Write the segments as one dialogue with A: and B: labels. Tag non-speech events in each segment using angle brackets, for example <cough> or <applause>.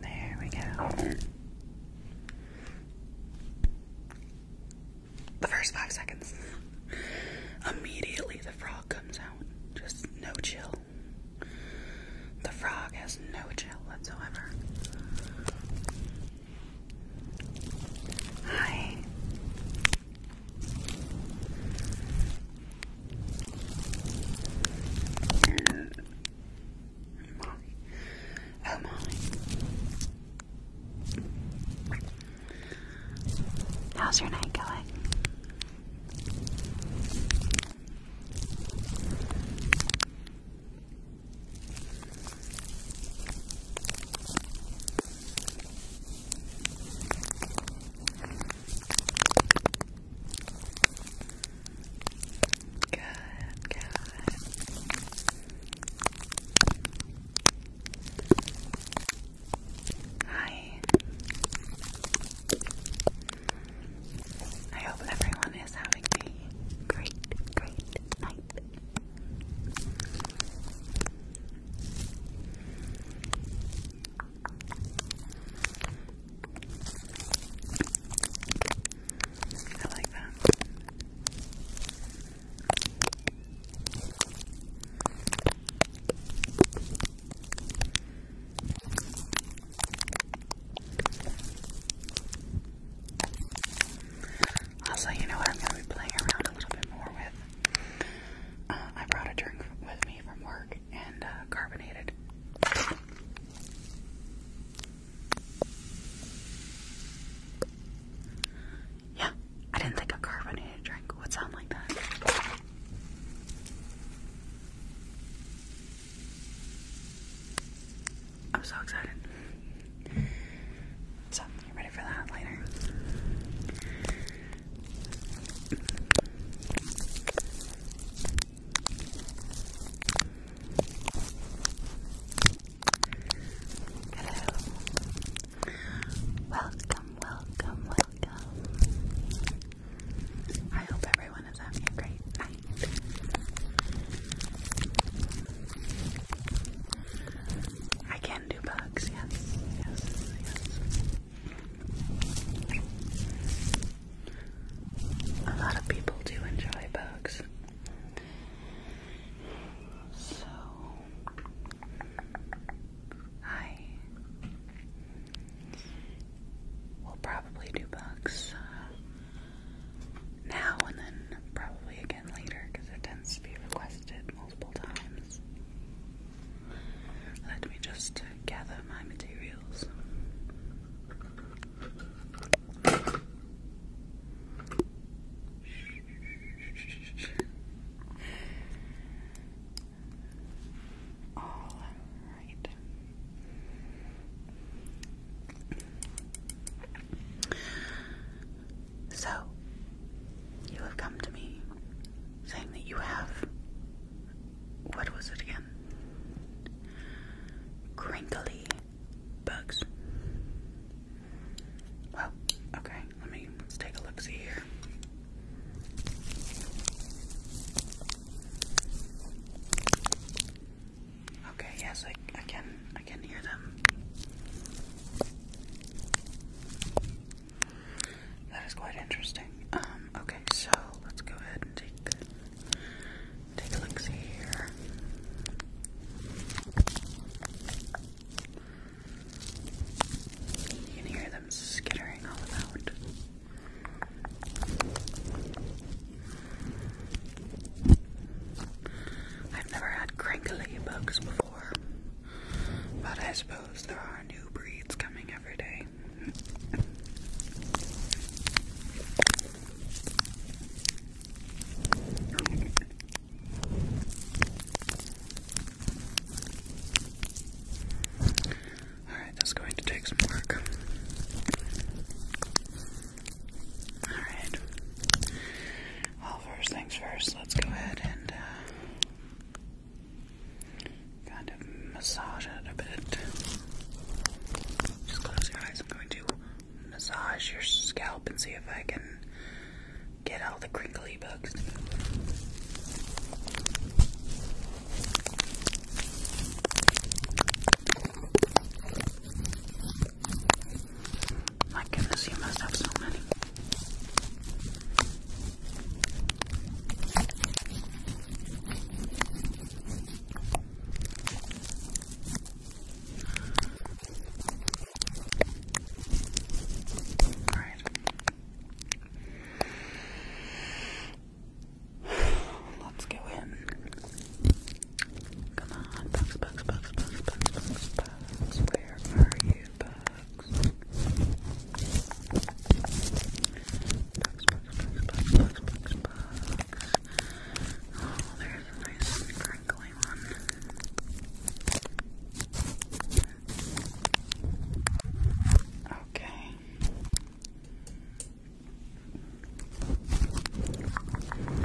A: There we go. The first five seconds. Immediately the frog comes out. Just no chill. The frog has no chill whatsoever. Hi and Molly. Oh, Molly. How's your night going? Hi. I hope everyone is having a great, great night. I like that. Also, you know what I'm gonna be playing around a little bit more with. Uh, I brought a drink with me from work and uh, carbonated yeah, I didn't think a carbonated drink would sound like that. I'm so excited. So, you ready for that later? Welcome, welcome, welcome. I hope everyone is having a great night. I can do bugs, yes, yes, yes. A lot of people do enjoy bugs. So, I will probably do bugs uh, now and then probably again later because it tends to be requested multiple times. Let me just gather my materials. All right. So, you have come to me saying that you have. What was it again? Crinkly bugs. Well, okay, let me let's take a look see here. Okay, yes, I, I can I can hear them. That is quite interesting. Um, okay, so let's go ahead and take Take a look see here. You can hear them skittering all about. I've never had crinkly bugs before, but I suppose there are new breeds coming every day. Alright, that's going to take some work. Alright. Well, first things first, let's go ahead and uh, kind of massage it a bit. Just close your eyes. I'm going to massage your scalp and see if I can get all the crinkly bugs My goodness, you must have so many right. Let's go in. Come on, bugs, bugs, bugs, bugs, bugs, bugs. Where are you, bugs? bugs, bugs, bugs, bugs, bugs, bugs. Oh, there's a nice crinkly one. Okay. Bugs, bugs, bugs, bugs, bugs.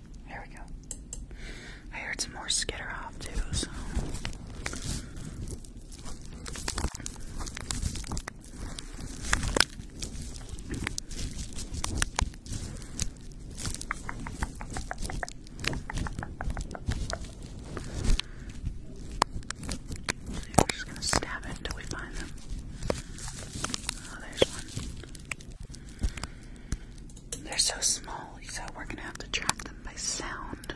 A: There we go. I heard some more skitter off too, so. we're just gonna stab it until we find them. Oh, there's one. They're so small, so we're gonna have to track them by sound.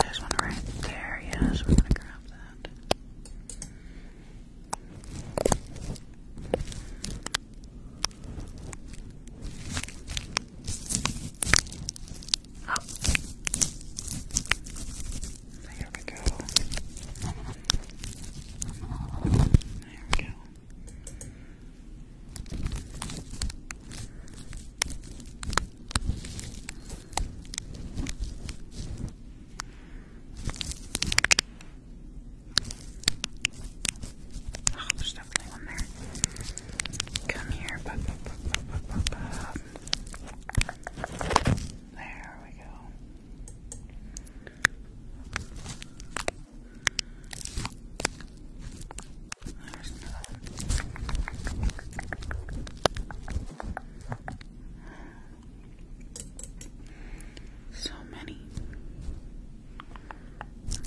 A: There's one right there, yes, we're gonna grab that. Oh. There we go. There we go. Okay. Oh, there's definitely one there. Come here. There we go. There's so many. There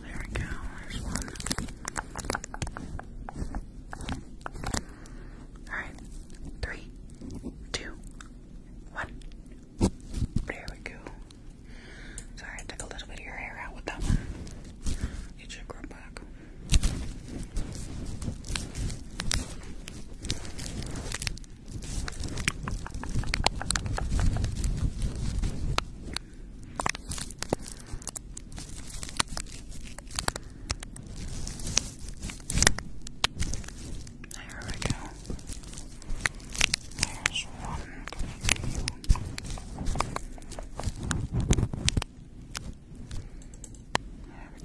A: we go, there's one. Alright, three, two, one. There we go. Sorry, I took a little bit of your hair out with that one. You should grow back. There we go. There's one. There we go.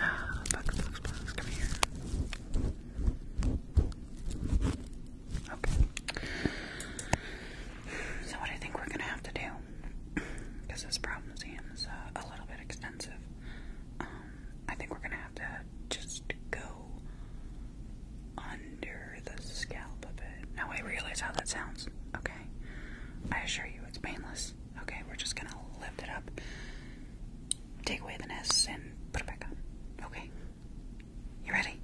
A: Ah, bugs, bugs, bugs, come here. Okay. So what I think we're gonna have to do, because <clears throat> this problem seems uh, a little bit extensive, um, I think we're gonna have to just go under the scalp of it. Now I realize how that sounds. Okay, I assure you it's painless. Okay, we're just gonna lift it up, take away the nest, and put it back on. Okay, you ready?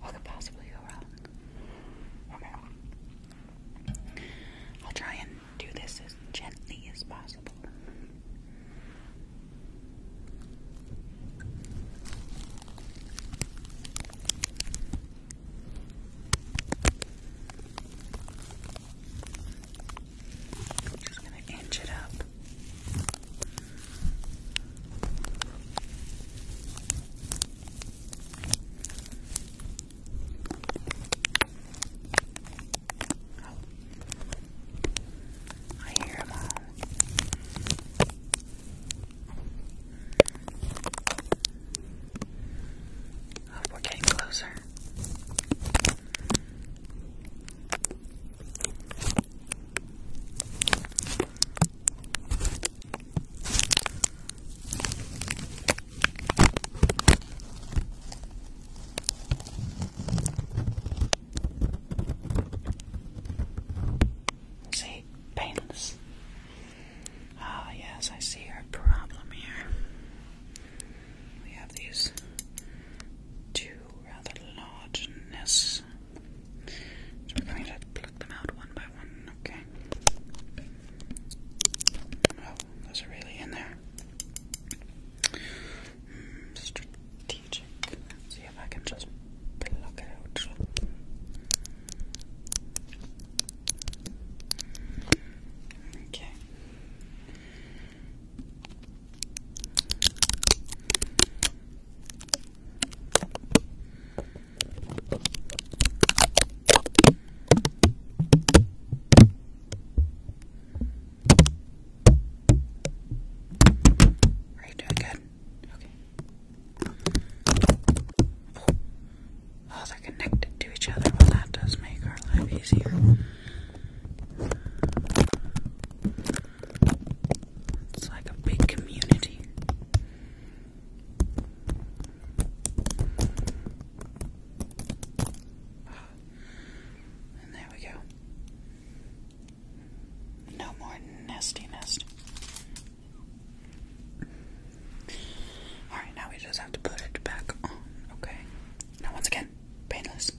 A: What could possibly go wrong? Okay. I'll try and do this as gently as possible. just going to inch it up. Oh. I hear them all. Oh, we're getting closer. See, painless. Ah, yes, I see our problem here. We have these two rather large nests so we're going to pluck them out one by one, okay? Oh, those are really in there. Hmm, strategic. see if I can just pluck it out. Okay. Are you doing good? Okay. Oh, oh they're connected to each other. Well, that does make our life easier. It's like a big community. And there we go. No more nastiness. Alright, now we just have to put it back on, okay? Now, once again, painless.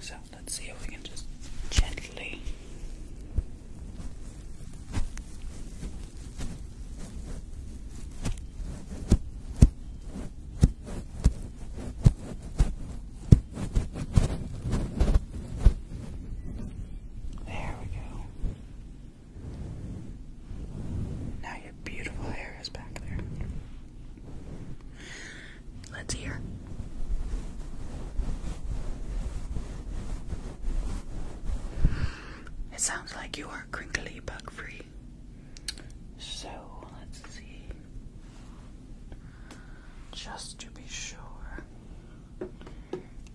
A: So, let's see if we can just gently there we go. Now your beautiful hair is back there. Let's hear. It sounds like you are crinkly bug free. So let's see. Just to be sure,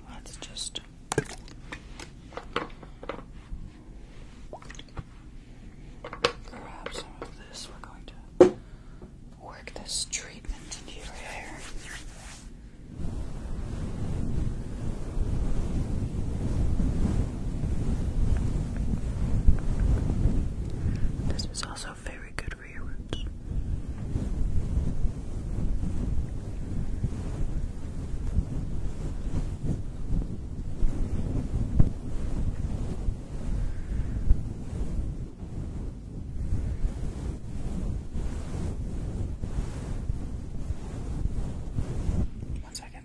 A: let's just. Grab some of this. We're going to work this treatment into your hair. This is also very good for your roots. One second.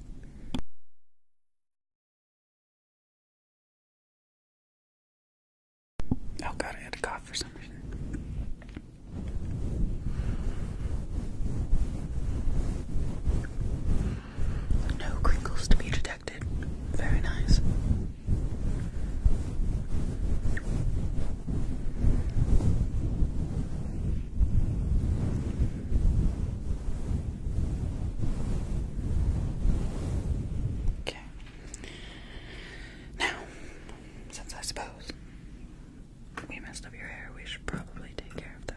A: Oh god, I had to cough for some reason. No crinkles to be detected. Very nice. Okay. Now, since I suppose we messed up your hair, we should probably take care of that.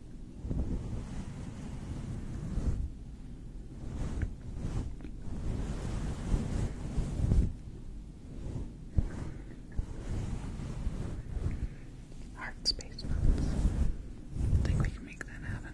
A: Heart space notes. I think we can make that happen.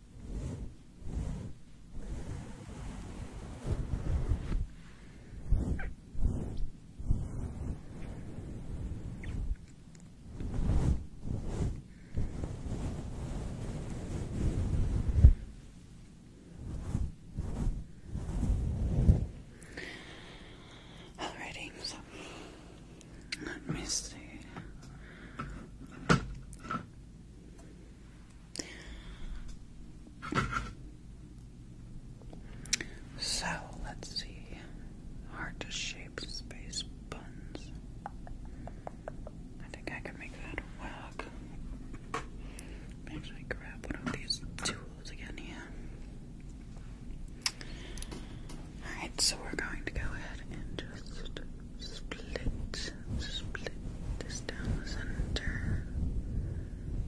A: Alrighty, so let me see. So let's see. Hard to shape space buns. I think I can make that work. Let me grab one of these tools again here. Alright, so we're going to go ahead and just Split, split this down the center.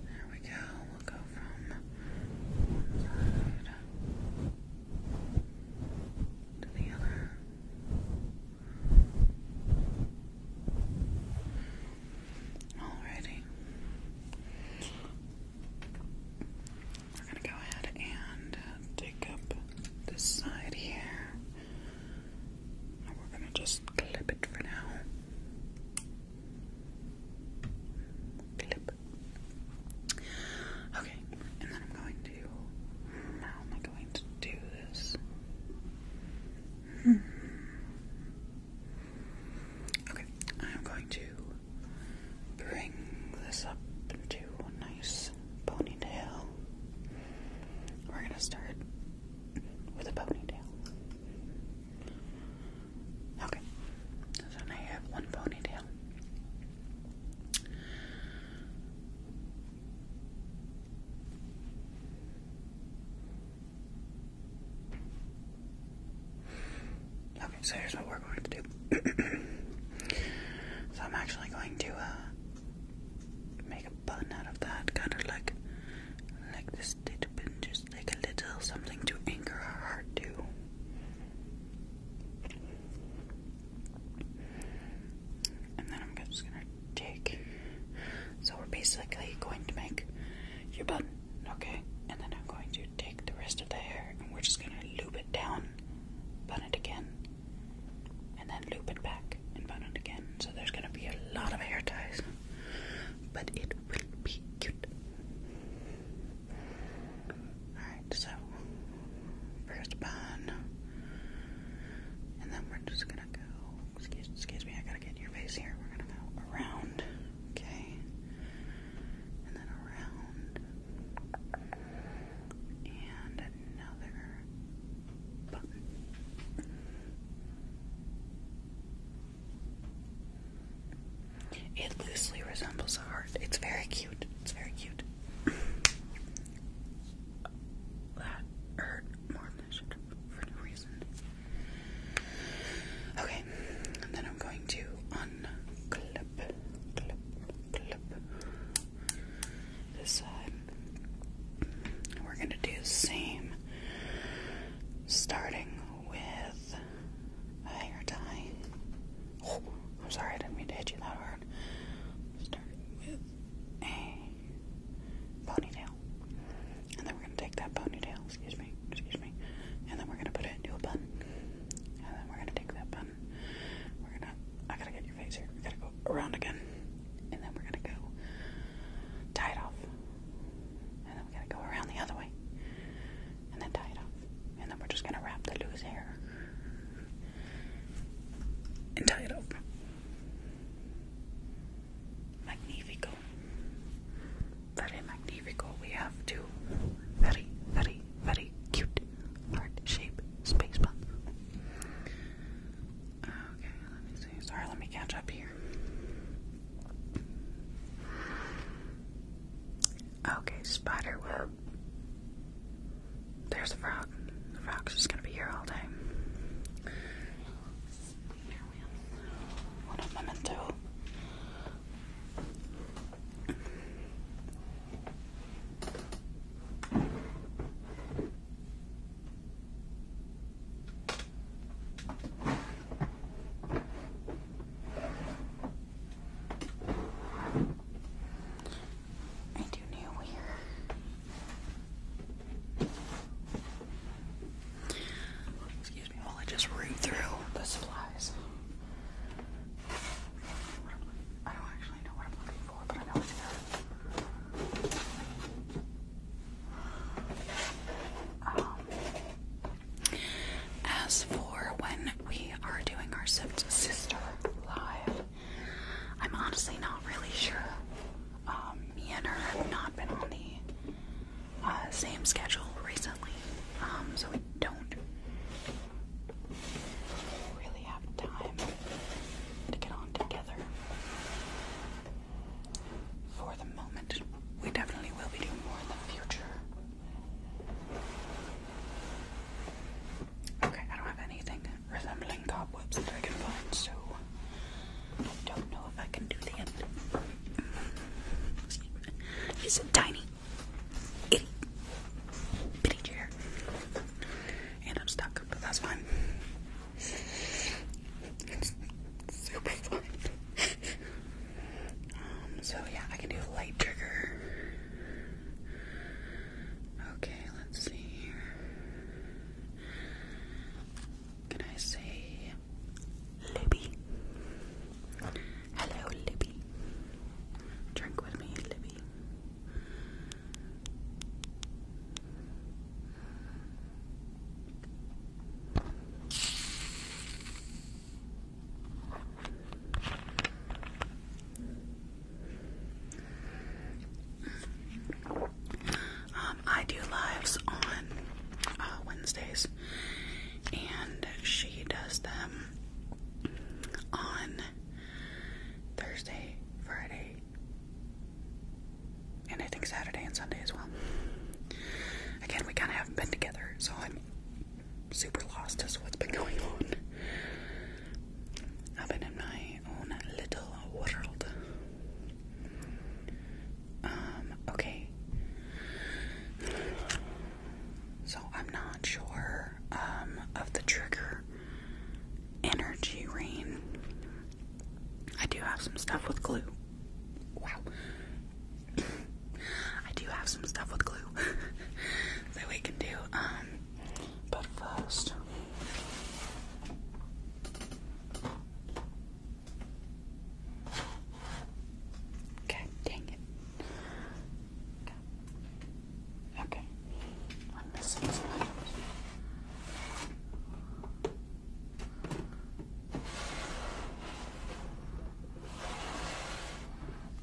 A: There we go. We'll go from one side to the other. Alrighty. We're gonna go ahead and take uh, up this side here. And we're gonna just clip it for now. Clip. Okay, and then I'm going to. How am I going to do this? Hmm. Okay, I'm going to bring this up into a nice ponytail. We're gonna start with a ponytail. Okay, so now you have one ponytail. Okay, so here's what we're going to do. <clears throat> so I'm actually going to uh, a bun out of that, kind of like like this little bit, just like a little something to anchor our heart to. And then I'm just gonna take. So we're basically going to make your bun, okay? And then I'm going to take the rest of the hair and we're just gonna loop it down, bun it again, and then loop it back and bun it again. So there's going to be a lot of hair ties, but it will be cute. Alright, so first bun, and then we're just going to go. Excuse, excuse me, I gotta get your face here. We're gonna go around, okay? And then around. And another button. It loosely resembles a heart. It's very cute. It's very cute. that hurt more than it for no reason. Okay, and then I'm going to unclip, clip, clip, this side. Um, and we're going to do the same, starting with a hair tie. Oh, I'm sorry, I didn't mean to hit you that hard. Starting with a ponytail. And then we're going to take that ponytail, excuse me, excuse me, and then we're going to put it into a bun. And then we're going to take that bun. We're going to, I gotta get we're gonna go around again. And then we're gonna go tie it off. And then we're gonna go around the other way. And then tie it off. And then we're just gonna wrap the loose hair. And tie it up. Magnifico. Very magnifico. We have two very, very, very cute heart shape space buns. Okay, let me see. Sorry, let me catch up here. Okay, spider web. There's a frog. The frog's just gonna be here all day. What am I meant to? do? I do know where. Excuse me while I just root through the supplies. I don't actually know where I'm looking I um, as for when we are doing our sister live, I'm honestly not really sure. Um, me and her have not been on the uh, same schedule recently, um, so we don't really have time to get on together for the moment. We definitely will be doing more in the future. Okay, I don't have anything resembling cobwebs that I can find, so I don't know if I can do the end. It's a tiny, itty, bitty chair. And I'm stuck, but that's fine super fun. Um, so yeah, I can do light trigger. Okay, let's see here. Can I say Libby? Hello, Libby. Drink with me, Libby. Um, I do lives on uh, Wednesdays, and she does them on Thursday, Friday, and I think Saturday and Sunday as well. Again, we kind of haven't been together, so I'm super lost as to what's been going on. I've been in my own little world. Um, okay. So I'm not sure um, of the trigger energy rain. I do have some stuff with glue. Wow. <laughs> I do have some stuff with glue <laughs> that we can do. Um, but first. Okay, dang it. Okay. I'm missing some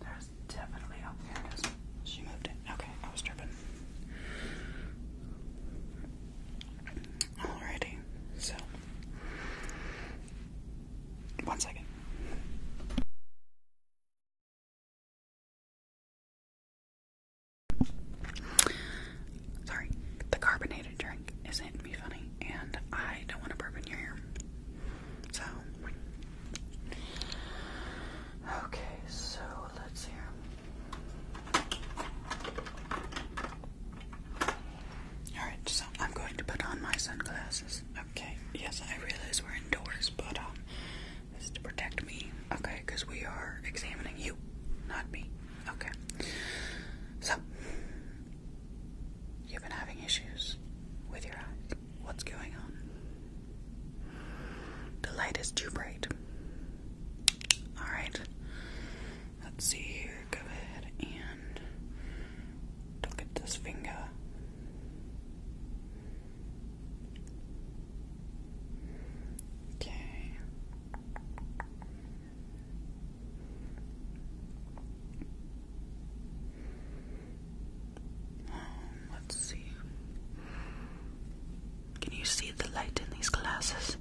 A: there's definitely, oh, there She moved it. Okay, I was tripping. Alrighty, so. One second. Sorry, the carbonated drink is hitting me funny, and I don't want to burp in your ear. So, okay, so let's hear. Alright, so I'm going to put on my sunglasses. Okay, yes, I realize we're indoors, but um, this is to protect me, okay, because we are examining you, not me. Okay. So, you've been having issues with your eyes. What's going on? The light is too bright. Alright. Let's see here. Go ahead and look at this finger. Okay. Um, let's see. Can you see the light in these glasses?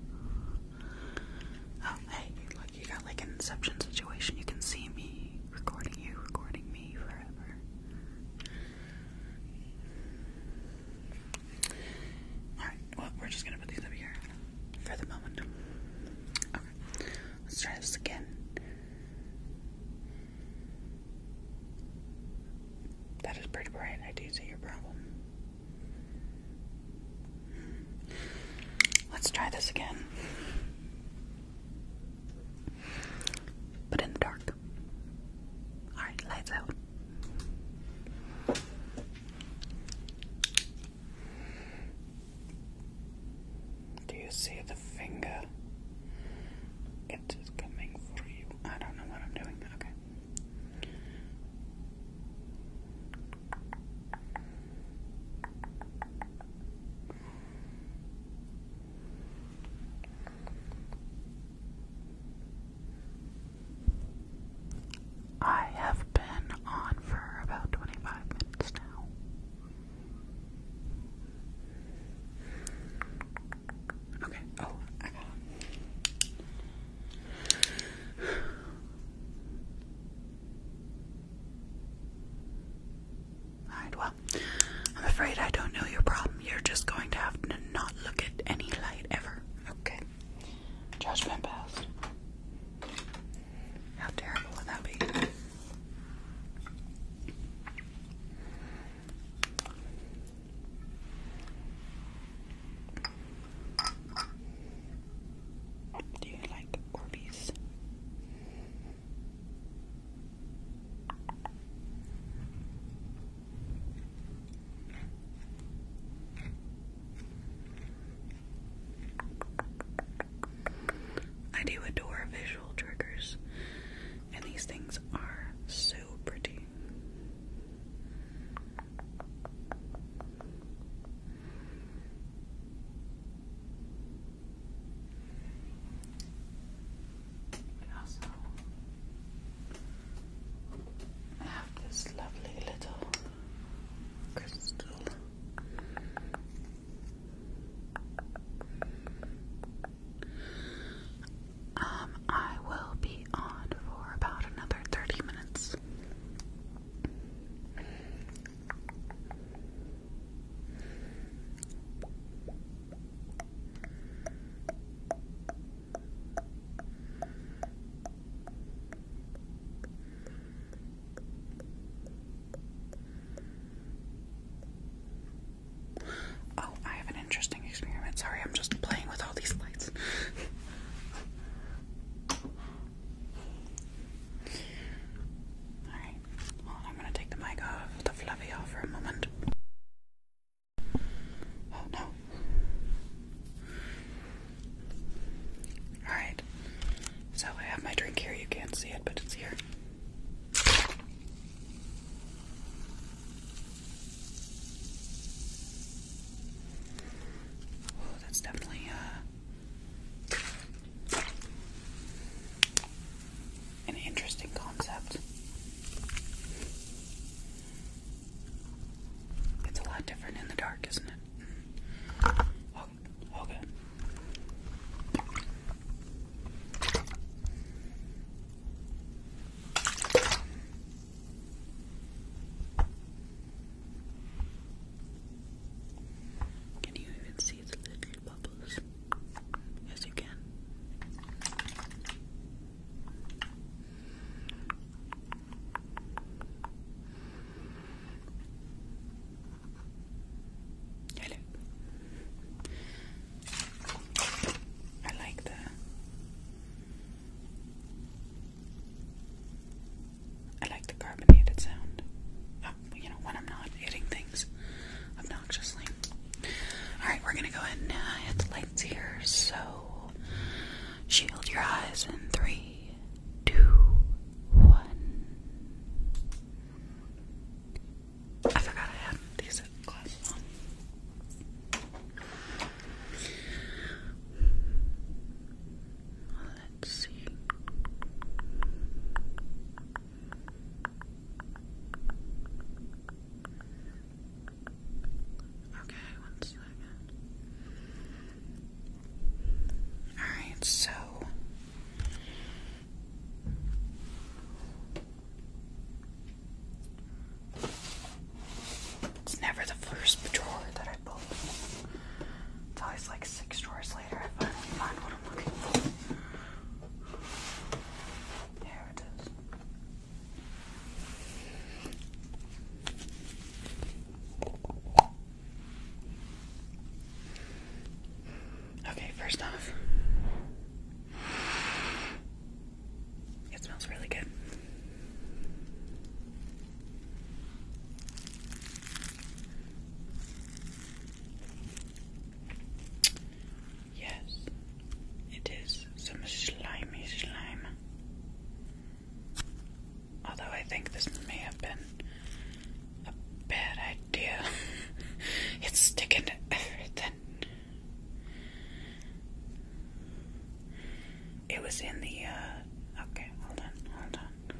A: Oh, hey, look, you got like an inception situation. You can see me recording you, recording me forever. Alright, well, we're just gonna put these over here for the moment. Okay, let's try this again. That is pretty bright. I do see your problem. Let's try this again. But in the dark. Alright, lights out. Do you see the finger? It is coming for you. I don't know what I'm doing. Okay. I have been on for about 25 minutes now. Okay, oh, I got it. Alright, well, I'm afraid I don't know your problem. You're just going to have to not look at any light ever. Okay. Judgment passed. How terrible would that be? Do you like Orbeez? I do adore visual triggers, and these things are so pretty. We have this lovely little crystal. Um, I will be on for about another 30 minutes. Oh, I have an interesting experiment. Sorry, I'm just playing with all these lights. Alright, I'm gonna take the mic off, the fluffy off for a moment. Oh no. Alright, so I have my drink here. You can't see it, but it's here. Oh, that's definitely uh, an interesting concept. It's a lot different in the dark, isn't it? Oh, Can you even see the little bubbles? Yes, you can. I like the I like the carbonated sound. Uh, you know, when I'm not hitting things obnoxiously. Alright, we're gonna go ahead and uh, hit the lights here, so shield your eyes in three, two, one. I forgot I had these glasses Let's see. Okay, one second. Alright, so it's never the first drawer that I pull. It's always like six drawers later I finally find what I'm looking for. There it is. Okay, first off, it smells really good. Yes, it is some slimy slime. Although I think this may have been a bad idea. <laughs> it's sticking to everything. It was in the, uh, okay, hold on, hold on.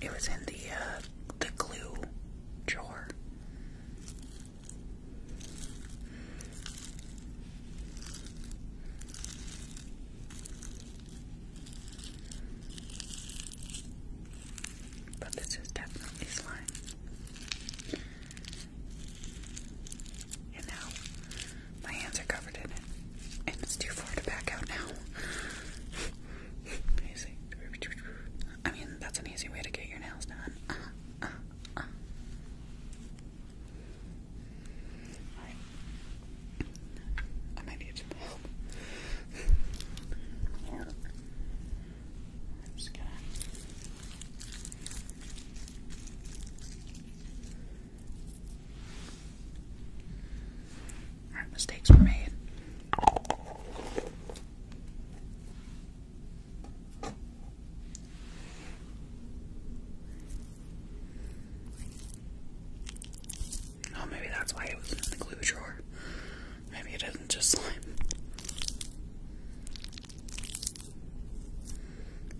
A: It was in the uh, the glue drawer. But this is definitely slime. And now my hands are covered in it. And it's too far to back out now. <laughs> I mean, that's an easy way to get your nails done. Uh, uh, uh. I might need some help. I'm just mistakes were made. Oh, maybe that's why it was in the glue drawer. Maybe it isn't just slime.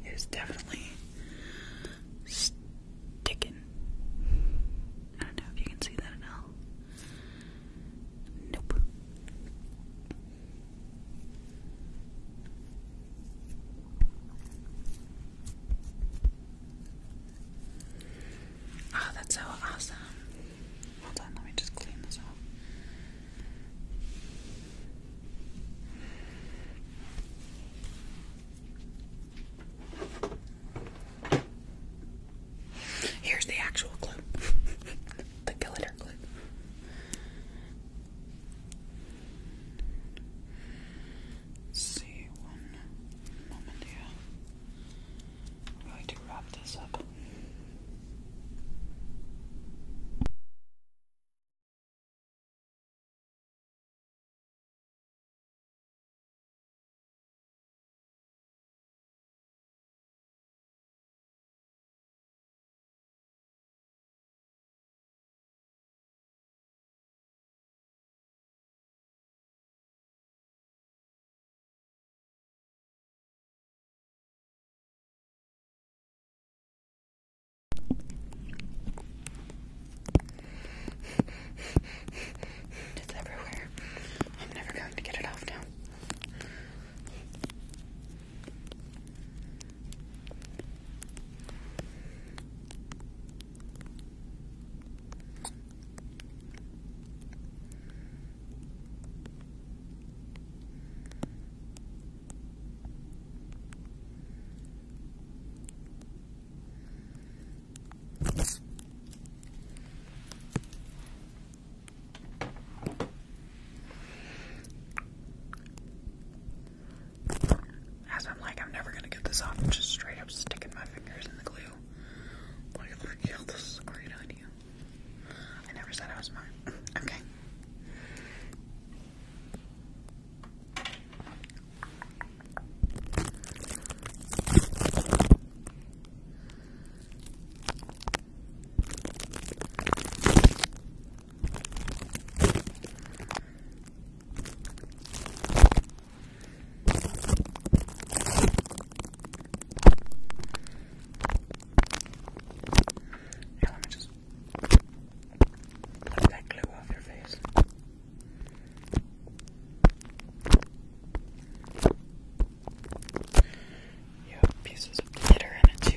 A: It is definitely sticking. I don't know if you can see that at all. Nope. Oh, that's so awesome. Hold on, let me just clean this off. Here's the actual clue. <laughs> the glitter clip. see one moment here. I'm going to wrap this up. It's everywhere. I'm never going to get it off now. As I'm like, I'm never gonna get this off, I'm just straight up sticking my fingers in the glue. Like, yeah, this is a great idea. I never said I was smart. <clears throat> okay. Here, let me just pluck that glue off your face. There you have pieces of glitter in it too.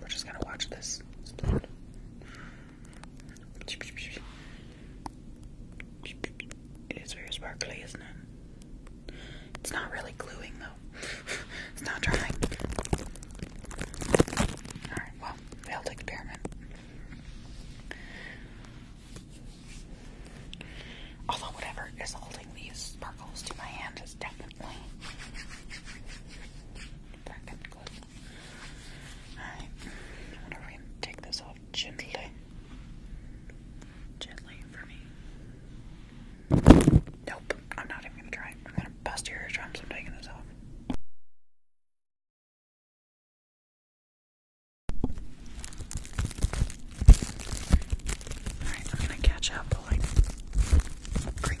A: We're just gonna watch this It is very sparkly, isn't it? It's not really gluing though. <laughs> it's not drying. Alright, well, failed experiment. Although whatever is holding these sparkles to my hand is definitely I'm gonna take this off gently. Gently for me. Nope, I'm not even gonna try. I'm gonna bust your drums. I'm taking this off. Alright, I'm gonna catch up like creep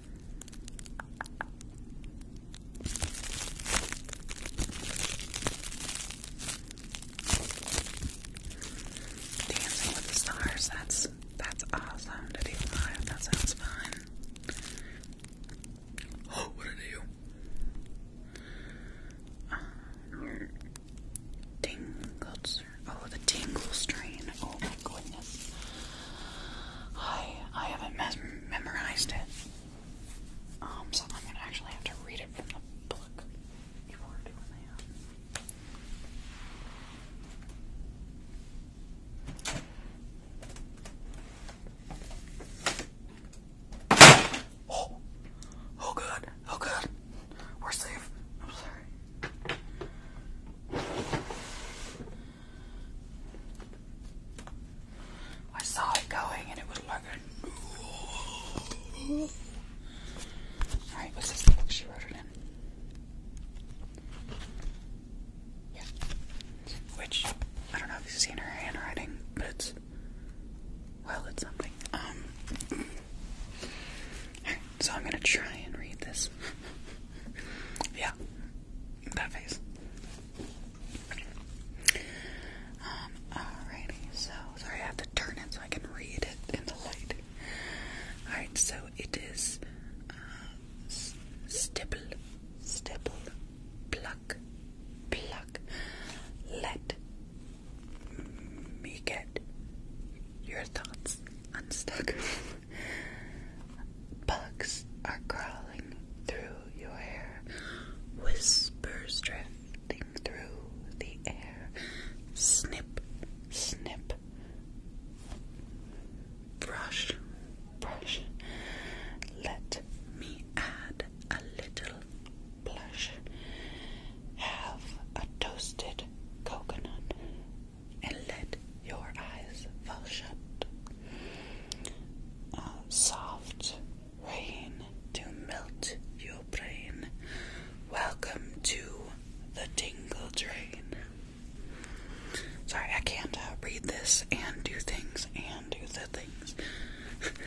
A: Dancing with the stars, that's that's awesome to be alive. that sounds fun. Oh, <gasps> what did um, I oh the tingle strain, oh my goodness. I I haven't memorized it. Um, so I'm gonna actually have to read it from the book. You doing that. Oh, oh good, oh good. We're safe. I'm sorry. I saw it going and it was like a. Alright, what's this book she wrote it in? Yeah. Which, I don't know if you've seen her handwriting, but it's. Well, it's something. Um. <clears throat> so I'm gonna try and read this. <laughs> yeah that face. Um, alrighty, so sorry I have to turn it so I can read it in the light. Alright, so it is uh, stipple, stipple, pluck, pluck, let me get your thoughts unstuck. <laughs> Bugs are crawling through your hair, whispers drifting through the air. Snip, snip. Brush, brush. Let me add a little blush. Have a toasted coconut and let your eyes fall shut. Uh, soft rain to melt your brain. Welcome to the tingle drain. Sorry, I can't uh, read this and do things and do the things. <laughs>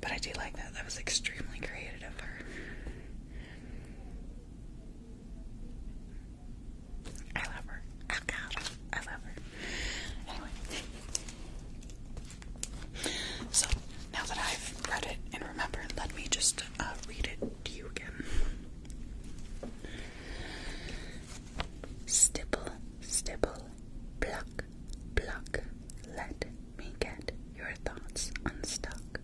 A: but I do like that. That was extremely creative of her. I love her. Oh God, I love her. Anyway, so now that I've read it and remembered, let me just uh, read it to you again. Stipple, stipple, block, block. Let me get your thoughts unstuck.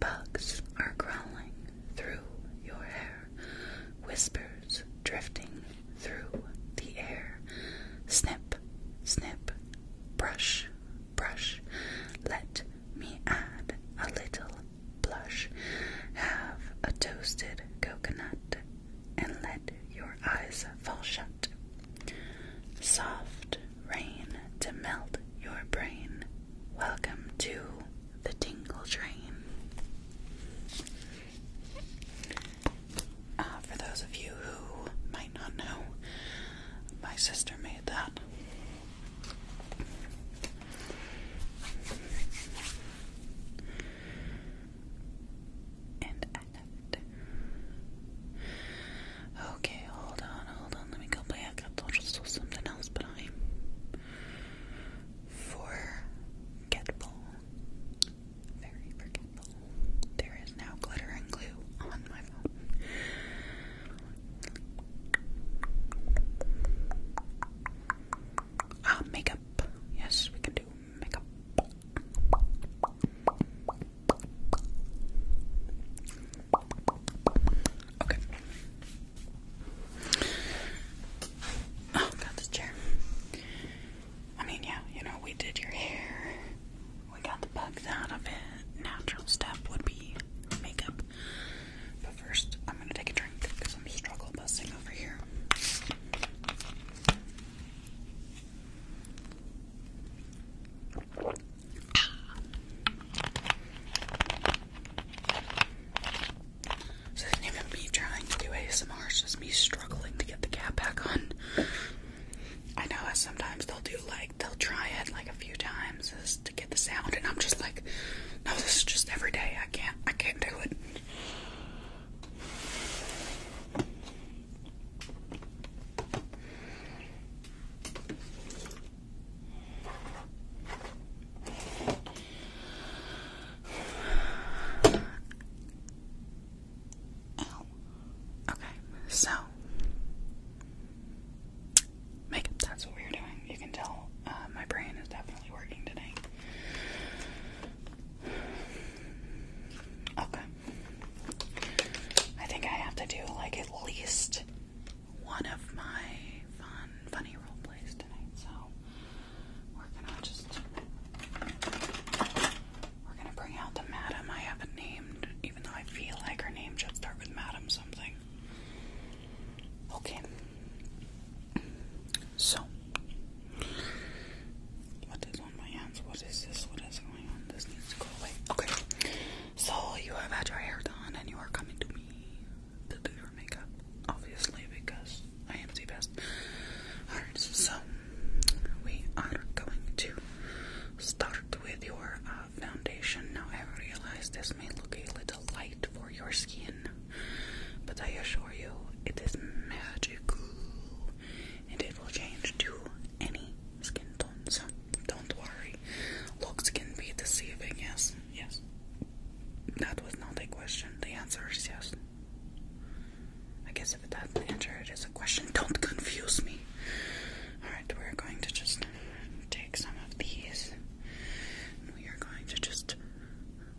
A: Bugs are crawling through your hair whispers drifting through the air. Snip, snip, brush, brush. Let me add a little blush. Have a toasted coconut and let your eyes fall shut. Soft rain to melt your brain. Welcome to the Tingle Train. Uh, for those of you who might not know, my sister made that. Okay, hold on, hold on. Let me go back. I thought I saw something else, but Forgetful. Very forgetful. There is now glitter and glue on my phone. Ah, makeup. Yes, we can do makeup. Okay. Oh, got this chair. I mean, yeah, you know, we did your hair. We got the bugs out of it. Natural step would be makeup. But first, I'm gonna take a drink because I'm struggle busting over here it isn't even me trying to do ASMR, just me struggling to get the cap back on. I know that sometimes they'll do like, they'll try it like a few times just to get the sound, and I'm just like, no, this is just every day. I can't, I can't do it. Okay, so makeup, that's what we were doing. You can tell uh, my brain is definitely working today. Okay. I think I have to do like at least one of my fun, funny role plays tonight, so we're gonna just we're gonna bring out the madam I haven't named, even though I feel like her name should start with madam something. Okay. So what is on my hands? What is this? What is going on? This needs to go away. Okay. So you have had your hair done and you are coming to me to do your makeup. Obviously because I am too fast. Alright, so we are going to start with your uh, foundation. Now, I realize this may look a little light for your skin, but I assure you it is magical and it will change to any skin tone. So, don't worry. Looks can be deceiving, yes, yes. That was not a question. The answer is yes. I guess if it doesn't answer, it is a question. Don't confuse me. Alright, we're going to just take some of these. we are going to just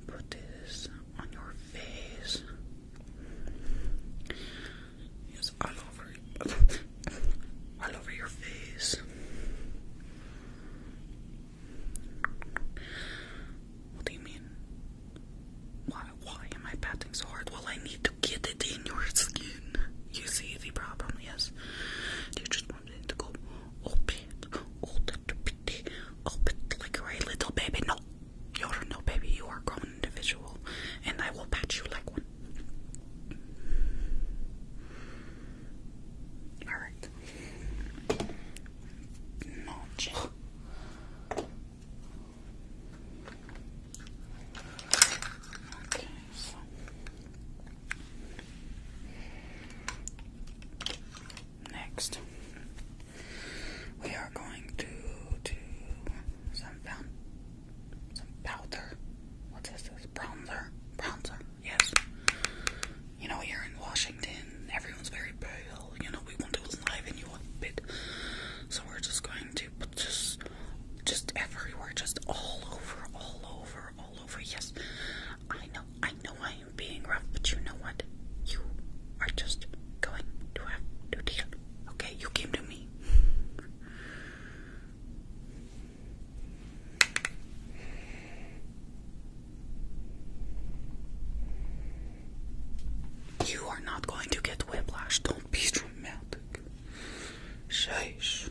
A: put this on your face. Yes, all over <laughs> all over your face. What do you mean? Why, why am I patting so hard? Well, I need to get it in your skin. You see the problem, yes? you just want to go open, open, open like you're a little baby? No, you're no baby. You are a grown individual, and I will pat you like one. All right. No, just Okay, so. Next, we are going to do some powder. What is this? Bronzer, bronzer. Yes, you know, here in Washington, everyone's very pale. You know, we want to enliven you a bit. So we're just going to put just, just everywhere, just all over, all over, all over. Yes, I know, I know I am being rough, but you know what? You are just going to have to deal. Okay, you came to me. You are not going to get whiplash. Don't be dramatic. Sheesh.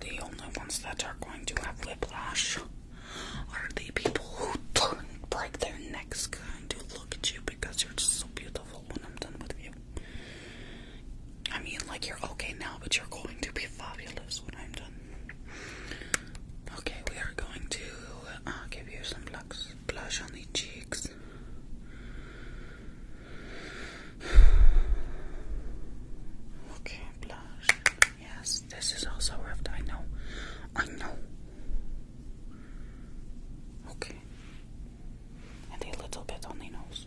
A: The only ones that are going to have whiplash are the people who turn break their necks going to look at you because you're so beautiful when I'm done with you. I mean, like, you're okay now, but you're going to be fabulous when I'm done. Okay, we are going to uh, give you some blush. blush on the cheeks. Okay, blush. Yes, this is also rough. I know. I know. Okay. And a little bit on the nose.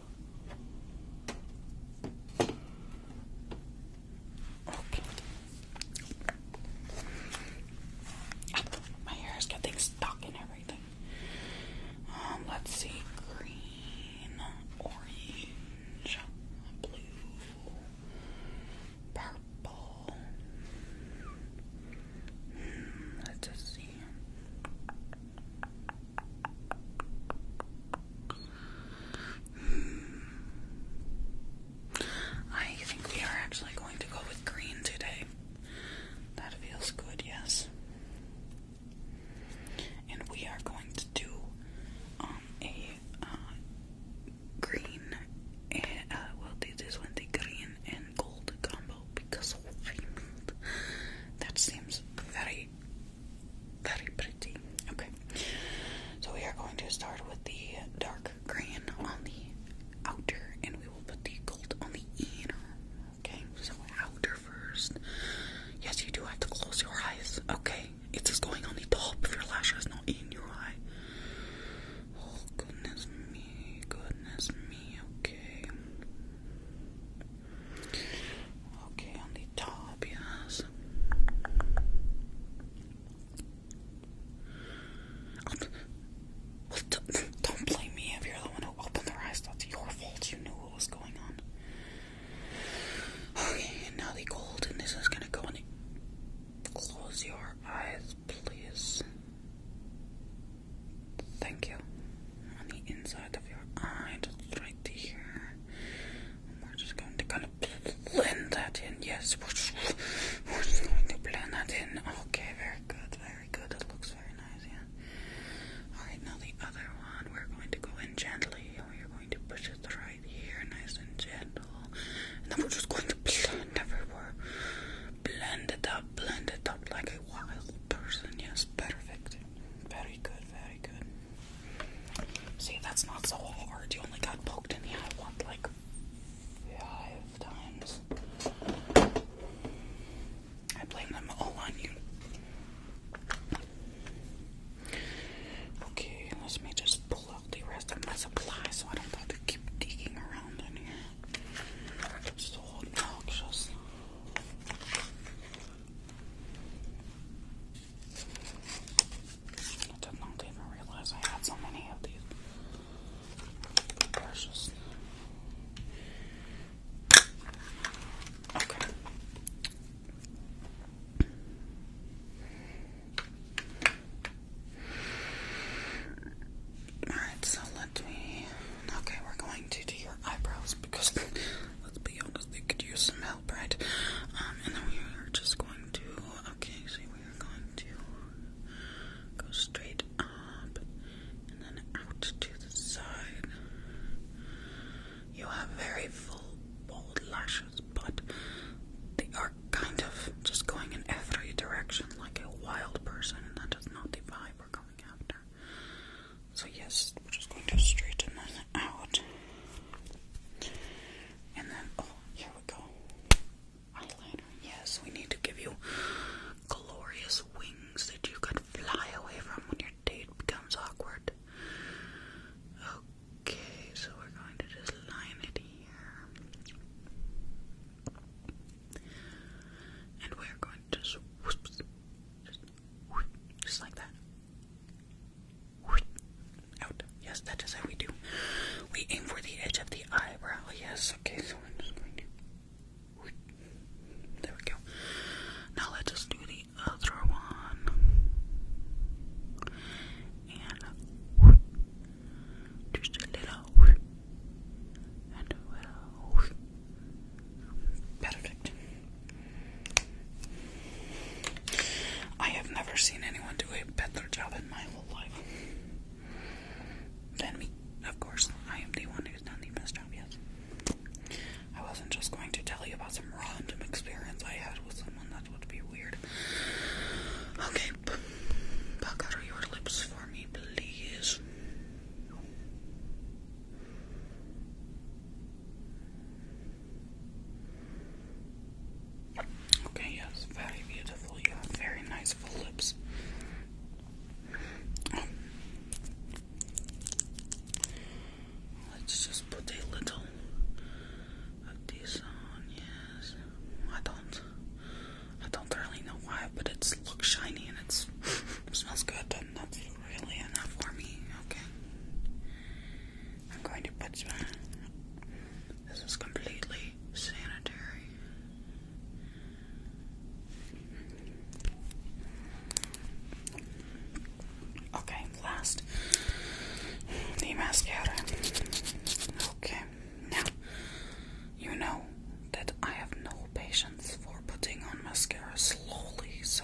A: Okay. my hair is getting stuck in everything. Um, let's see. Green, orange, blue, purple. Hmm, let's just see. <sighs> I think we are actually going to go with green today. That feels good, yes. And we are going to do um, a uh, green. And, eh, uh, well, this one the green and gold combo because oh, that seems very very, pretty. Okay, so we are going to start with the dark green on the outer, and we will put the gold on the inner. Okay, so outer first. Yes, you do have to close your eyes. Okay, it's going on the top of your lashes, not in your eye. Oh goodness me, goodness me. Okay. Okay, on the top, yes. don't, blame me if you're the one who opened their eyes. That's your fault. You knew what was going on. Okay, now the gold, and this is gonna go in. Close your eyes, please. Thank you on the inside of your eye, just right here. we're just going to kind of blend that in. Yes, we're just, going to blend that in. Okay, very good, very good. It looks very nice, yeah. Alright, now the other one, we're going to go in gently and we're going to push it right here, nice and gentle. And then we're just going to blend everywhere. Blend it up, blend it up like a wild person. Yes, perfect. Very good, See, that's not so hard. You only got poked in the eye once, like five times. I blame them all on you. Okay, let us me just pull out the rest of my supplies so I don't have to keep digging around in here. so obnoxious. I did not even realize I had so many of these brushes. Okay. Alright, so let me Okay, we're going to do your eyebrows because let's be honest, they could use some help, right? Um, and then we are just going to okay, so we are going to go straight up and then out to the side. You have very full bold lashes, but they are kind of just going in every direction like a wild person, and that is not the vibe we're going after. So, yes, we're just going to straighten that out. And then, oh, here we go. Eyeliner. Yes, we need to give you glorious wings that you could fly away from when your date becomes awkward. Okay, so we're going to just line it here. And we're going to just, just like that. Out. Yes, that is how we do. We aim for the edge of the eyebrow. Yes, okay, so I'm just going to. There we go. Now let's just do the other one. And just a little. And a little. Perfect. I have never seen anyone do a better job in my whole life than me. Of course, I am the one who's done the best job yet. I wasn't just going to tell you about some random experience I had with someone, that would be weird. Okay, pucker your lips for me, please. Okay, yes, very beautiful. You have very nice full lips. let's just put a little of this on. Yes, I don't, I don't really know why, but it looks shiny and it <laughs> smells good that's really enough for me. Okay. I'm going to put some. This is completely sanitary. Okay, last the mascara. Okay, now you know that I have no patience for putting on mascara slowly, so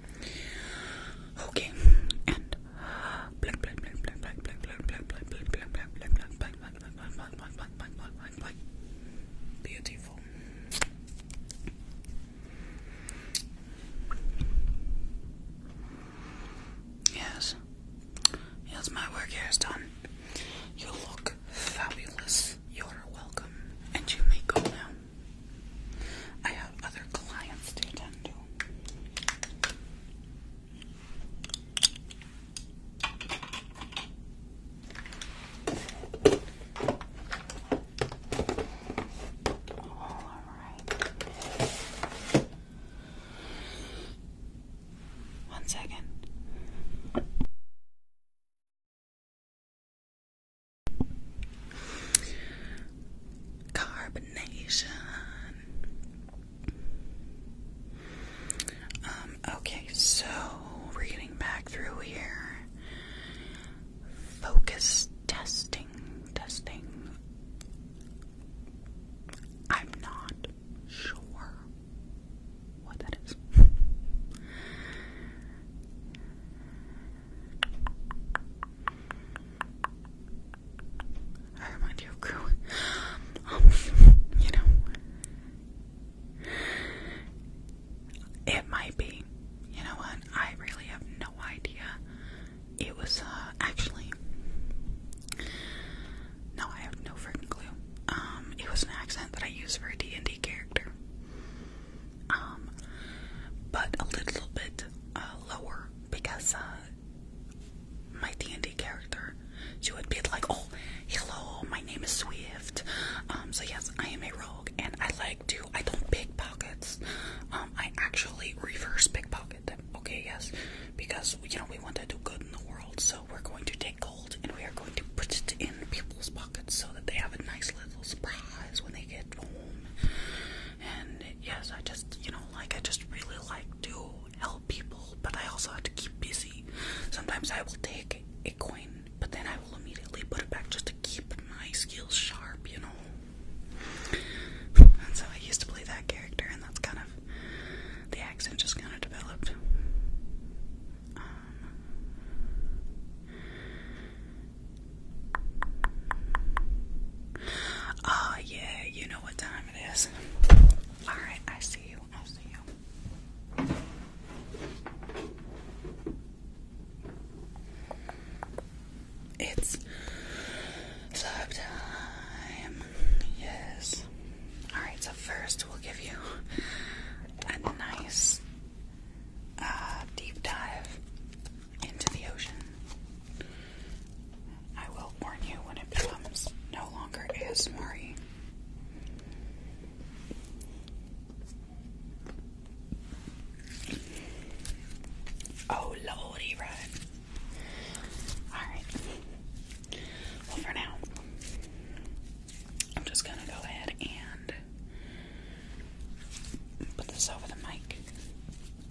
A: Okay, and Beautiful. Yes. Yes, my work here is done. You look fabulous. You're welcome. And you may go now. I have other clients to attend to. All right. One second. Carb combination. Um, okay, so reading back through here. Focus testing, testing. I'm not sure what that is. I remind you of you know, it might be. You know what? I really have no idea. It was uh, actually. No, I have no freaking clue. Um, it was an accent that I used for a D and D character. Um, but a little bit uh, lower because uh, my D&D character. She would be like, oh, hello, my name is Swift. Um, so yes, I am a rogue and I like to, I don't pickpockets. Um, I actually reverse pickpocket okay, yes. Because, you know, we want to do good in the world, so we're going to take gold and we are going to put it in people's pockets so that they have a nice little surprise when they get home. And yes, I just, you know, like I just really like to help people, but I also have to keep busy. Sometimes I will take a coin, but then I will immediately put it back just to keep my skills sharp, you know. And so I used to play that character, and that's kind of the accent just kind of developed. Um, Oh, yeah, you know what time it is. Alright, I see you. I see you. It's sub time. Yes. Alright, so first we'll give you a nice uh, deep dive into the ocean. I will warn you when it becomes no longer ASMR. -y. Oh lordy, right. Alright. Well, for now, I'm just gonna go ahead and put this over the mic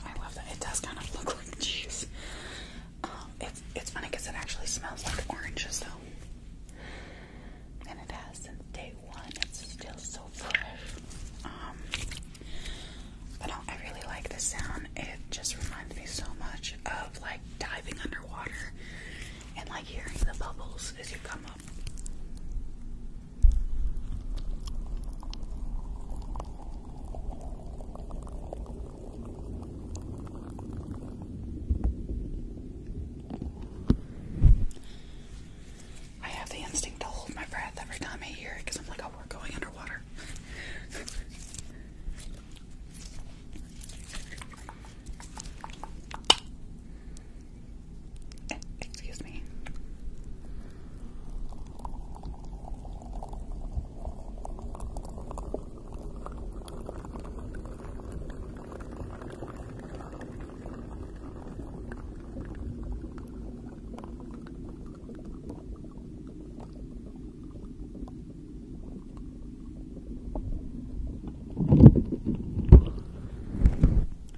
A: I love that. It does kind of look like cheese. Um, it's funny because it actually smells like oranges though, and it has since day one. It's still so fresh. Um, but I really like the sound. It just reminds me so much of like diving underwater and like hearing the bubbles as you come up. I have the instinct to hold my breath every time I hear it because I'm like, oh, we're going underwater. <laughs> Excuse me.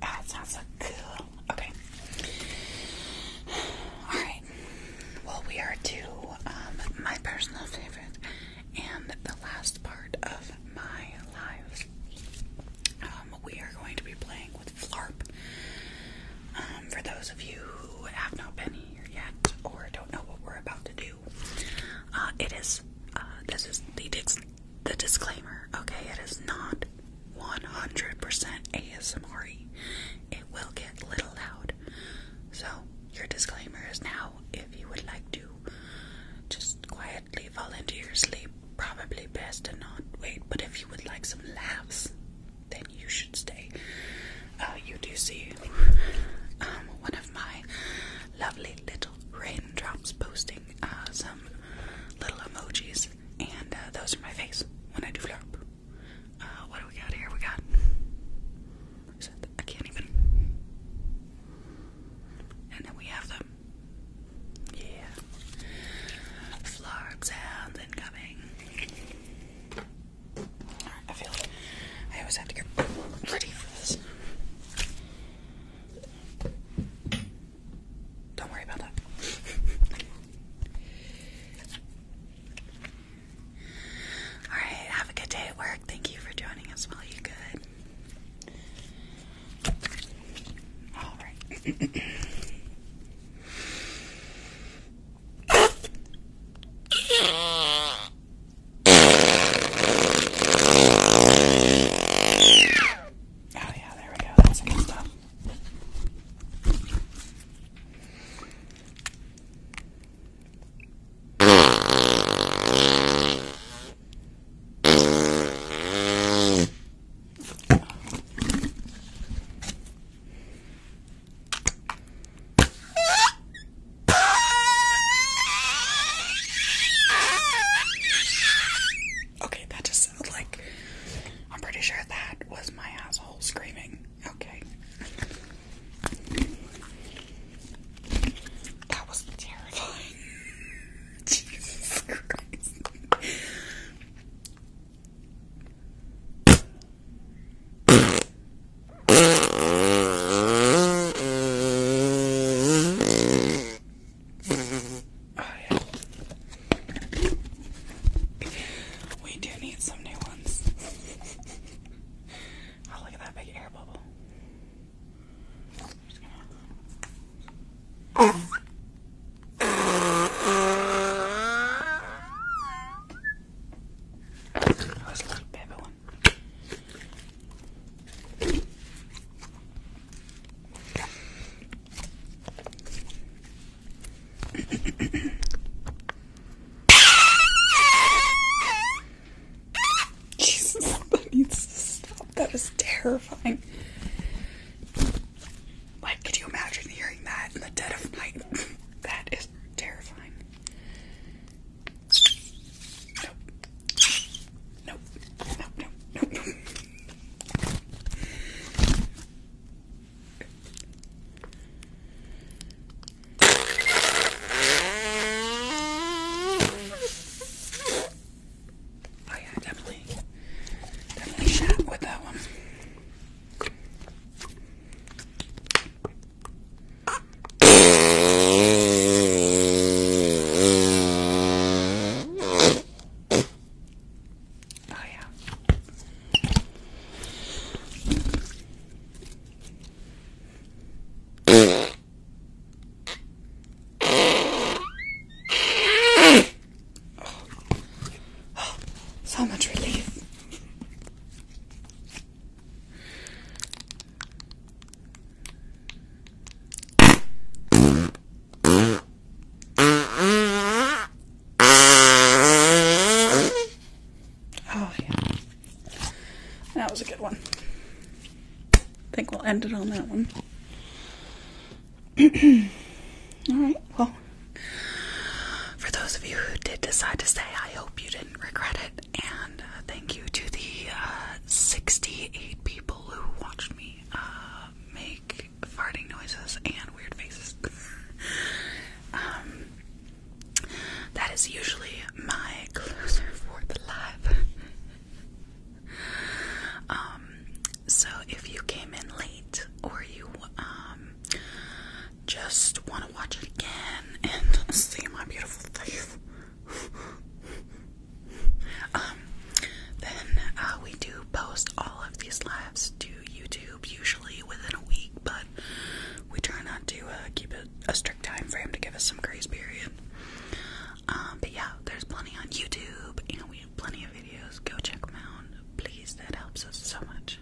A: Ah, that sounds so cool. Okay. <sighs> Alright. Well, we are to um, my personal favorite and the last part of my lives. Um, we are going to be playing with Flarp. Um, for those of you who have not been here yet or don't know what we're about to do, uh, it is uh, this is the dis the disclaimer. Okay, it is not 100% ASMR. -y. It will get a little loud. So, your disclaimer is now if you would like to just quietly fall into your sleep, probably best to not wait. But if you would like some laughs, then you should stay. Uh, you do see um, one of my lovely little raindrops posting uh, some little emojis, and uh, those are my face when I do flop. Uh, what do we got here? We got. I can't even. And then we have them. Yeah. Floor sounds incoming. I feel like I always have to get ready for this. Don't worry about that. All right, have a good day at work. Thank you for joining us while you could. Oh yeah, there we go. That's good stuff. Okay, that just sounded like I'm pretty sure that was my asshole screaming. Okay. That was terrifying. <laughs> Jesus Christ. Oh, yeah. We do need some new ones oh, look at that big air bubble. Oh, that's a little baby one. Jesus, that stop. That terrifying. Like, could you imagine hearing that in the dead of night? <laughs> that is terrifying. Nope. Nope. Nope. Nope. Nope. Oh yeah, definitely, definitely shot with that one. Oh yeah. <sighs> so much relief. <laughs> Oh, yeah. That was a good one. I think we'll end it on that one. <clears throat> Alright, well, for those of you who did decide to stay, I hope you didn't regret it. And uh, thank you to the uh, 68 people who watched me uh, make farting noises and weird faces. <laughs> Um, that is usually my closer for the live. Um, so if you came in late or you um, just want to watch it again and <laughs> see my beautiful face, <laughs> um, then uh, we do post all of these lives to YouTube usually within a week, but we try not to uh, keep a strict time frame to give us some grace period. Um, but yeah, there's plenty on YouTube, and we have plenty of videos. Go check them out, please. That helps us so much.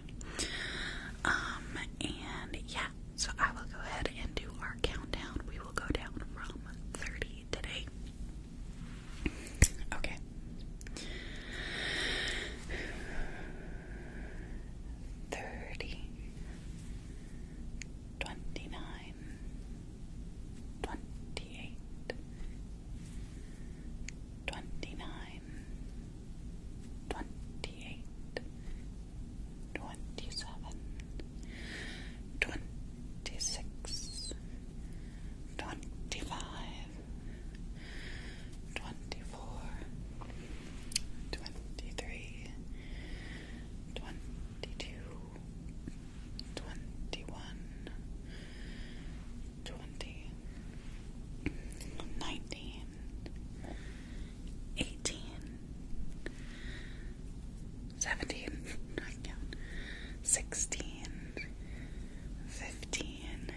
A: Um, and yeah, so I will go ahead and do our countdown. We will go down from 30 today. Okay thirty, twenty nine, twenty eight, twenty nine, twenty eight, twenty seven, twenty six, twenty five. 25 24 23 22 21 twenty-four, twenty-three, twenty-two, twenty-one, twenty, nineteen, eighteen, seventeen, I count, sixteen, fifteen.